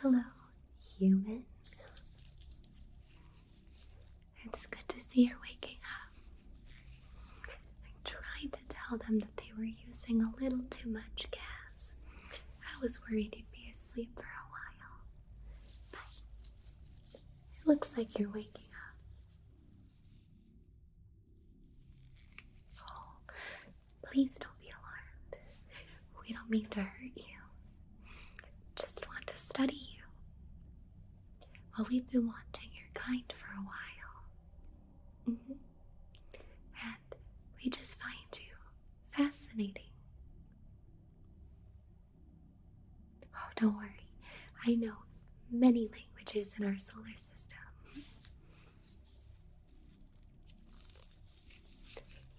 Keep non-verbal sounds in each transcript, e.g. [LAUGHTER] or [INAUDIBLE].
hello, human. It's good to see you're waking up. I tried to tell them that they were using a little too much gas. I was worried you'd be asleep for a while. But it looks like you're waking up please don't be alarmed. We don't mean to hurt you. Just want to study you. Well, we've been watching your kind for a while. Mm-hmm. And we just find you fascinating. Oh, don't worry. I know many languages in our solar system.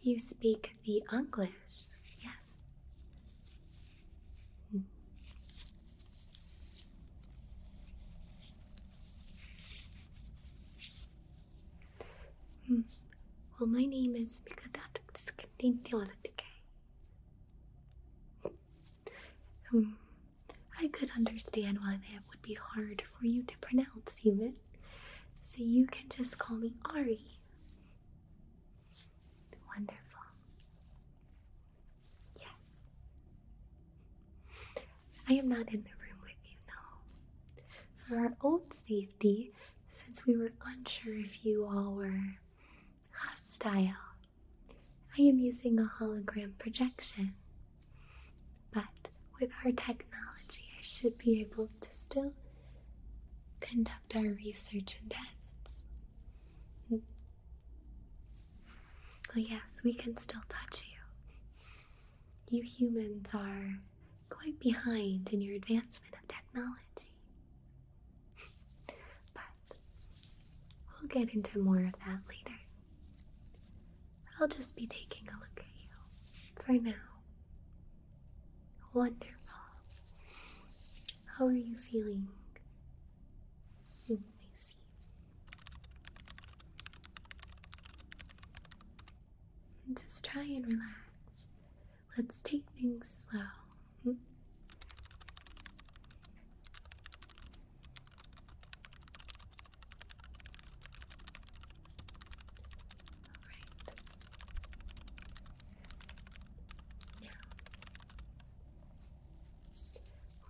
You speak the English, yes. Hmm. Well, my name is Mikadatik Hmm. I could understand why that would be hard for you to pronounce, even. So you can just call me Ari. Wonderful. Yes. I am not in the room with you, no. For our own safety, since we were unsure if you all were hostile. I am using a hologram projection, but with our technology, I should be able to still conduct our research and tests. Well, yes, we can still touch you. You humans are quite behind in your advancement of technology but we'll get into more of that later. I'll just be taking a look at you for now. Wonderful. How are you feeling? Mm, just try and relax. Let's take things slow Hmm?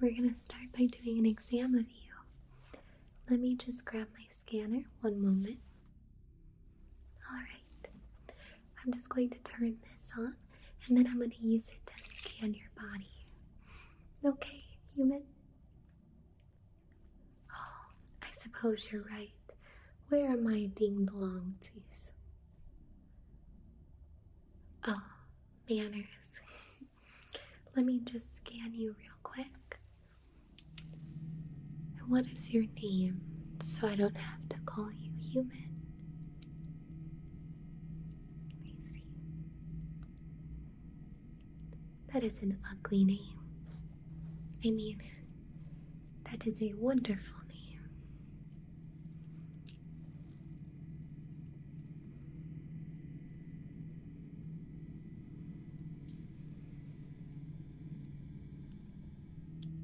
we're going to start by doing an exam of you. Let me just grab my scanner one moment. All right. I'm just going to turn this on and then I'm going to use it to scan your body. Okay, human? Oh, I suppose you're right. Where are my ding dongsies? Oh, manners. [LAUGHS] Let me just scan you real quick. What is your name so I don't have to call you human? That is an ugly name. I mean, that is a wonderful name.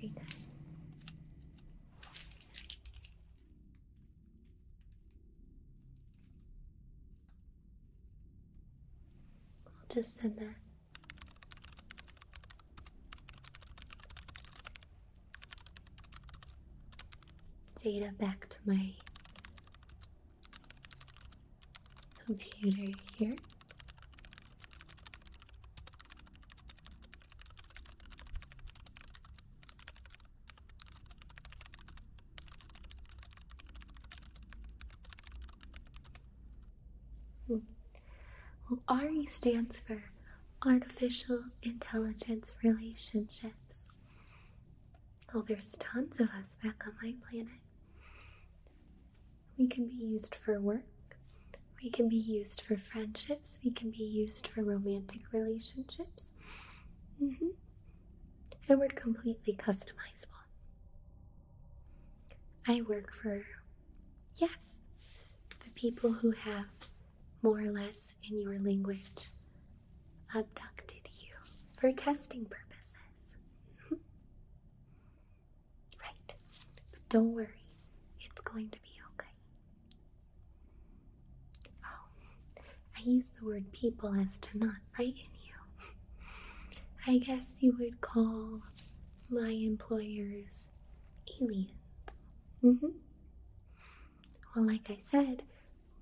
Very nice. I'll just send that data back to my computer here. Well, RE stands for Artificial Intelligence Relationships. Oh, there's tons of us back on my planet. We can be used for work, we can be used for friendships, we can be used for romantic relationships. Mm-hmm. And we're completely customizable. I work for, yes, the people who have more or less in your language abducted you for testing purposes. [LAUGHS] right. But don't worry, it's going to be okay. Oh, I use the word people as to not frighten you. [LAUGHS] I guess you would call my employers aliens. Mm-hmm. Well, like I said,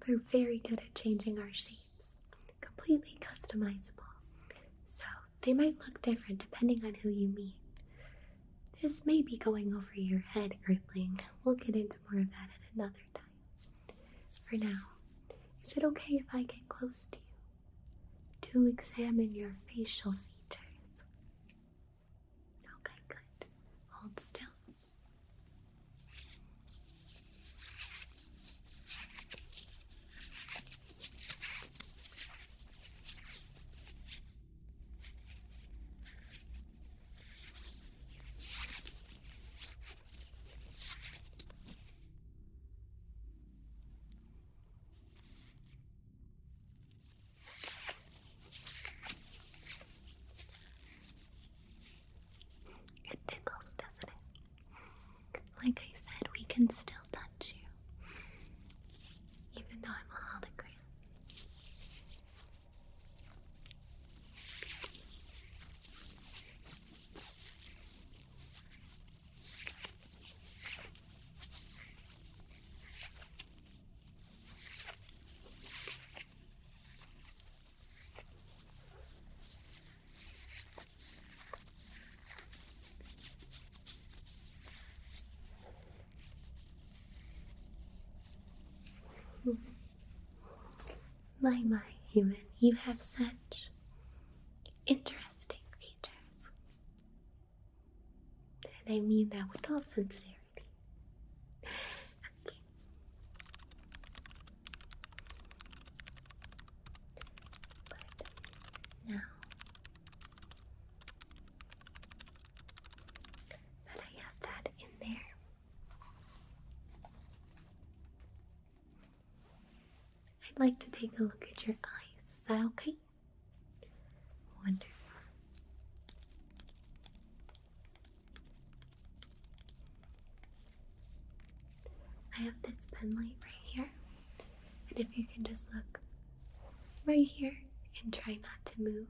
we are very good at changing our shapes, completely customizable. So they might look different depending on who you meet. This may be going over your head, Earthling. We'll get into more of that at another time. For now, is it okay if I get close to you? to examine your facial features. Okay, good. Hold still. It tickles, doesn't it? Like I said, we can still touch you, even though I'm a hologram. My, my, human, you have such interesting and I mean that with all sincerity. But now that I have that in there, I'd like to take a look at your eyes. Is that okay? Wonderful. I have this pen light right here, and if you can just look right here and try not to move.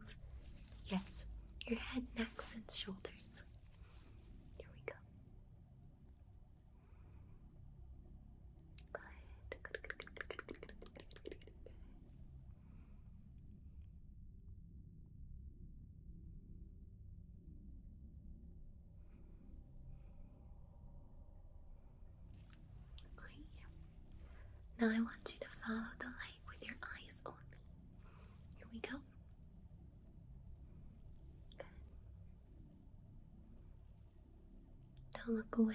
Yes, your head, neck, and shoulders. Here we go. Okay. Now I want you to follow the light with your eyes only. Here we go. Don't look away.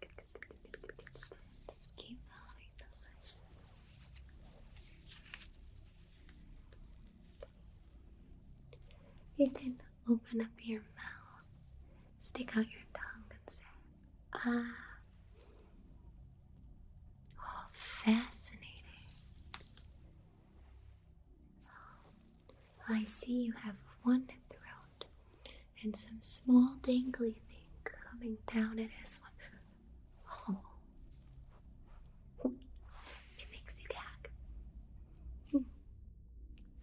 Good. Just keep following the light. You can open up your mouth, stick out your tongue, and say, Ah. Oh, fascinating. I see you have one throat and some small dangly thing coming down at us. Oh. It makes you gag.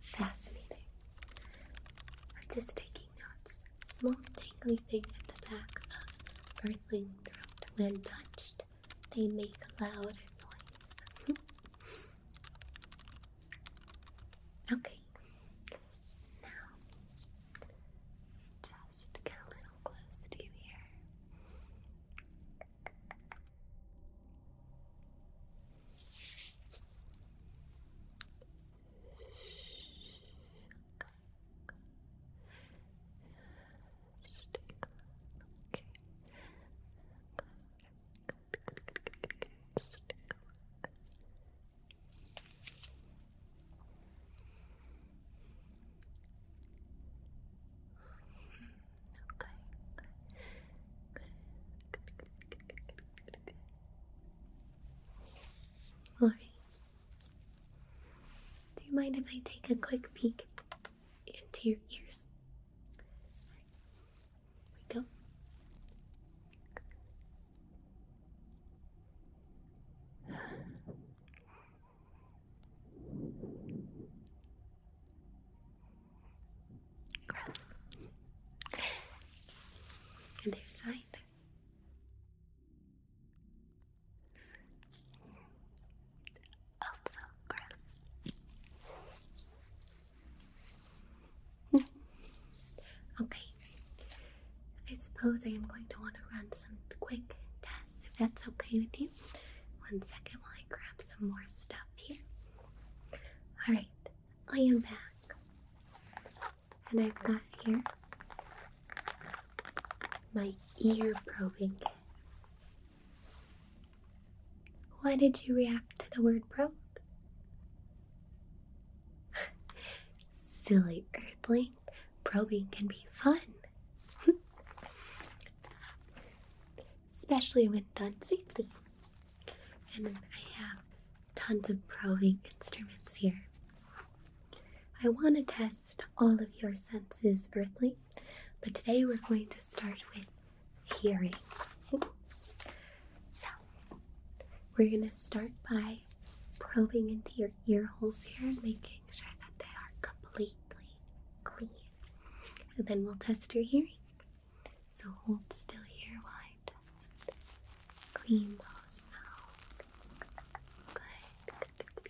Fascinating. I'm just taking notes. Small dangly thing at the back of earthling throat. When touched, they make loud noise. [LAUGHS] okay. Now, just get a little close to you here. Stay okay. All right. Do you mind if I take a quick peek into your ears? Here we go. Gross. And their side. Also gross okay. I suppose I am going to want to run some quick tests if that's okay with you. One second while I grab some more stuff here. Alright, I am back. And I've got here my ear probing Why did you react to the word probe? Silly earthly, probing can be fun. Especially when done safely. And I have tons of probing instruments here. I want to test all of your senses, earthly, but today we're going to start with hearing. So, we're going to start by probing into your ear holes here and making sure that they are completely clean. then we'll test your hearing. So, hold still here while I Clean those now. good.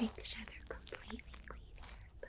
make sure they're completely clean but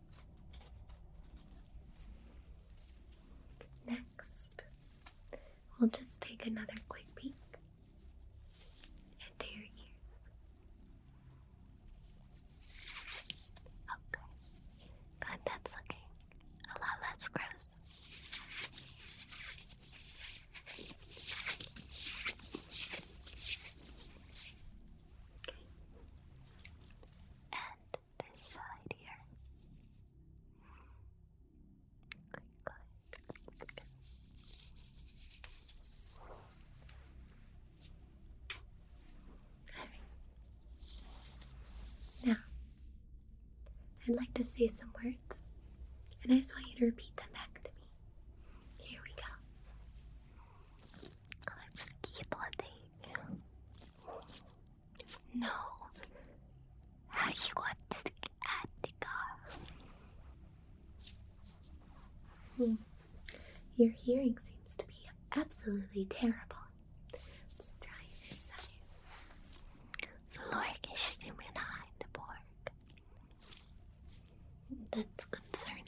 Next, we'll just take another quick peek into your ears. Okay, God, that's looking a lot less gross. And this side here. Now, I'd like to say some words, and I just want you to repeat them back to me. Here we go on ski holiday. No. How got to at ah, the car? Hmm. Your hearing seems to be absolutely terrible. Let's try this side. That's concerning.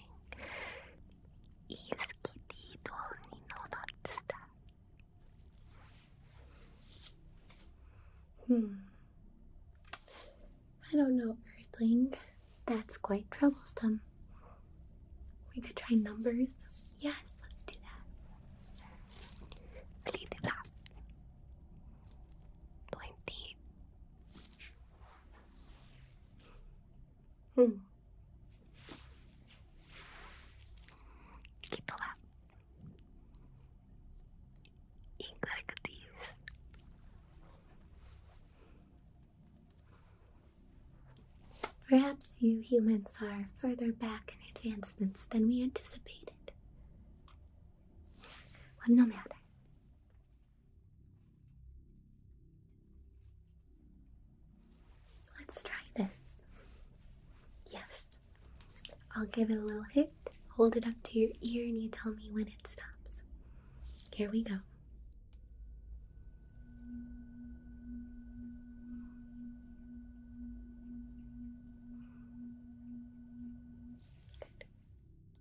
I don't know, Earthling. That's quite troublesome. We could try numbers. Yes, let's do that. Let's Hmm. Perhaps you humans are further back in advancements than we anticipated. والنوم علي Let's try this. Yes. I'll give it a little hit, hold it up to your ear, and you tell me when it stops. Here we go.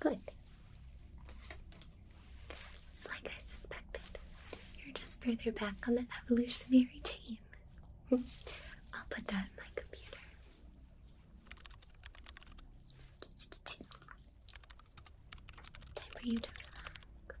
Good. It's like I suspected. You're just further back on the evolutionary chain. [LAUGHS] I'll put that in my computer. Time for you to relax.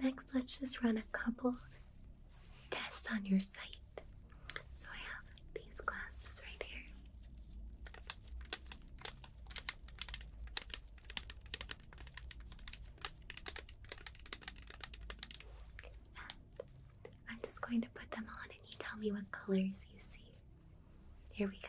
Next, let's just run a couple tests on your sight. So I have these glasses right here. I'm just going to put them on and you tell me what colors you see. Here we go.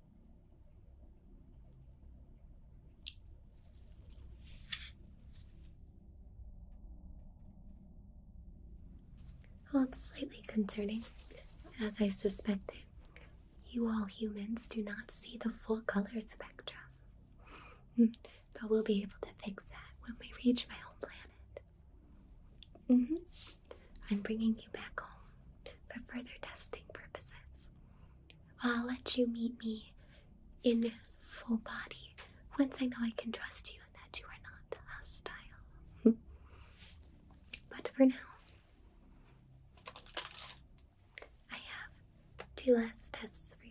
Well, it's slightly concerning, as I suspected. You all humans do not see the full color spectrum. Hmm, but we'll be able to fix that when we reach my home planet. Mm-hmm. I'm bringing you back home for further testing purposes. I'll let you meet me in full body once I know I can trust you and that you are not hostile. [LAUGHS] but for now, I have two last tests for you.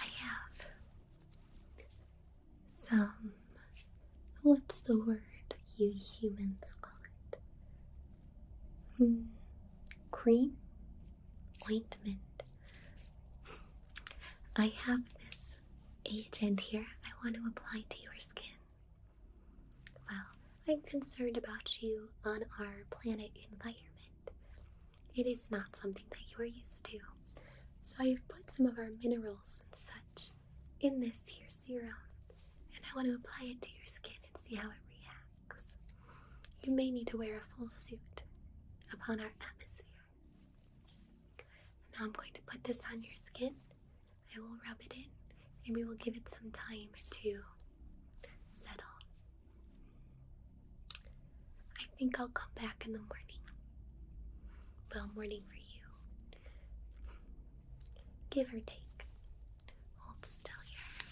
I have some. What's the word you humans call it? Hmm. Cream? Ointment. I have this agent here I want to apply to your skin. Well, I'm concerned about you on our planet environment. It is not something that you are used to. So I have put some of our minerals and such in this here serum and I want to apply it to your skin and see how it reacts. You may need to wear a full suit upon our atmosphere. Now I'm going to put this on your skin. I will rub it in and we will give it some time to settle. I think I'll come back in the morning. Well, morning for you. Give or take i still here.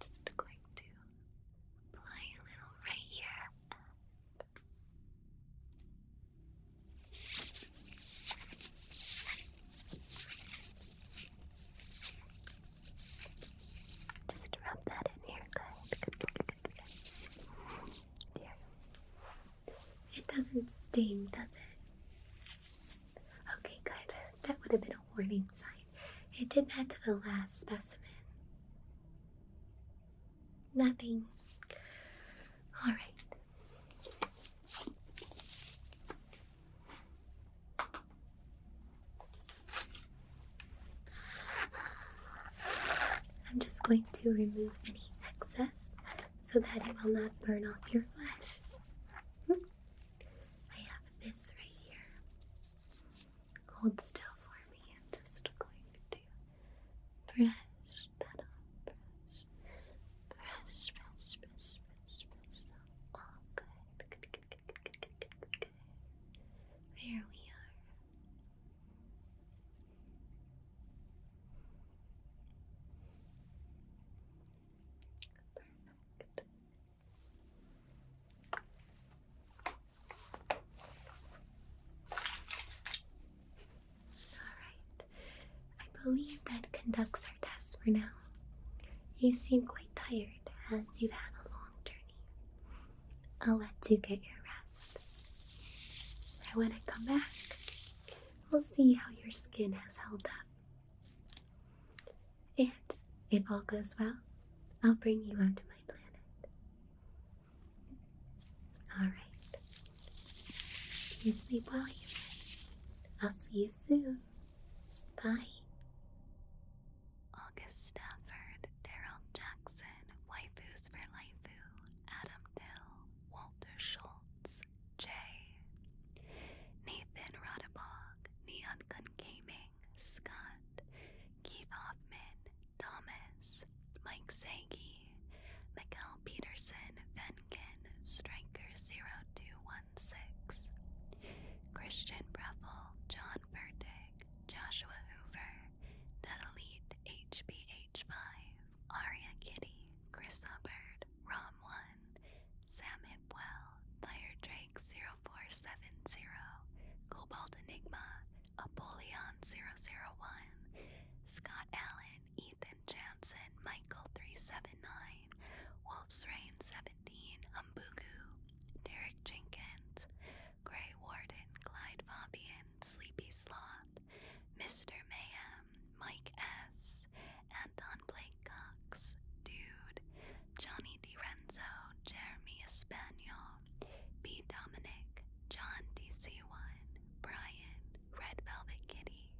Just going to apply a little right here. Just rub that in here, good. There. It doesn't sting, does it? Okay, good. That would have been a warning sign. It did not add to the last specimen. Nothing. All right. I'm just going to remove any excess so that it will not burn off your flesh. Hmm. I have this right here. Hold still for me. I'm just going to brush that off. Brush, brush, brush, brush, brush, brush. There we are. Alright, I believe that conducts our test for now. You seem quite tired as you've had a long journey. I'll let you get your rest. I want to come back we'll see how your skin has held up. And if all goes well, I'll bring you onto my planet. Alright. You sleep well, you I'll see you soon. Bye. August Stafford, Daryl Jackson, Waifus for Laifu, Adam Dill, Walter Schultz, J. Nathan Radabog, Neon Gun Gaming, Scott, Keith Hoffman, Thomas, Mike Sagi, Michael Peterson, Venkin, Striker0216, Christian Breffel, John Bertig, Joshua Hoover, Delete HBH5, Aria Kitty, Chris Hubbard, Rom1, Sam Hipwell, Drake 0470, Cobalt Enigma, Apollyon 001, Scott Allen, Ethan Jansen, Michael 379, Wolf's Reign 17, Umbugu, Derek Jenkins, Grey Warden, Clyde Fabian, Sleepy Sloth, Mr. Mayhem, Mike S., Anton Blake Cox, Dude, Johnny DiRenzo, Jeremy Espanol, B. Dominic, John DC1, Brian, Red Velvet Kitty.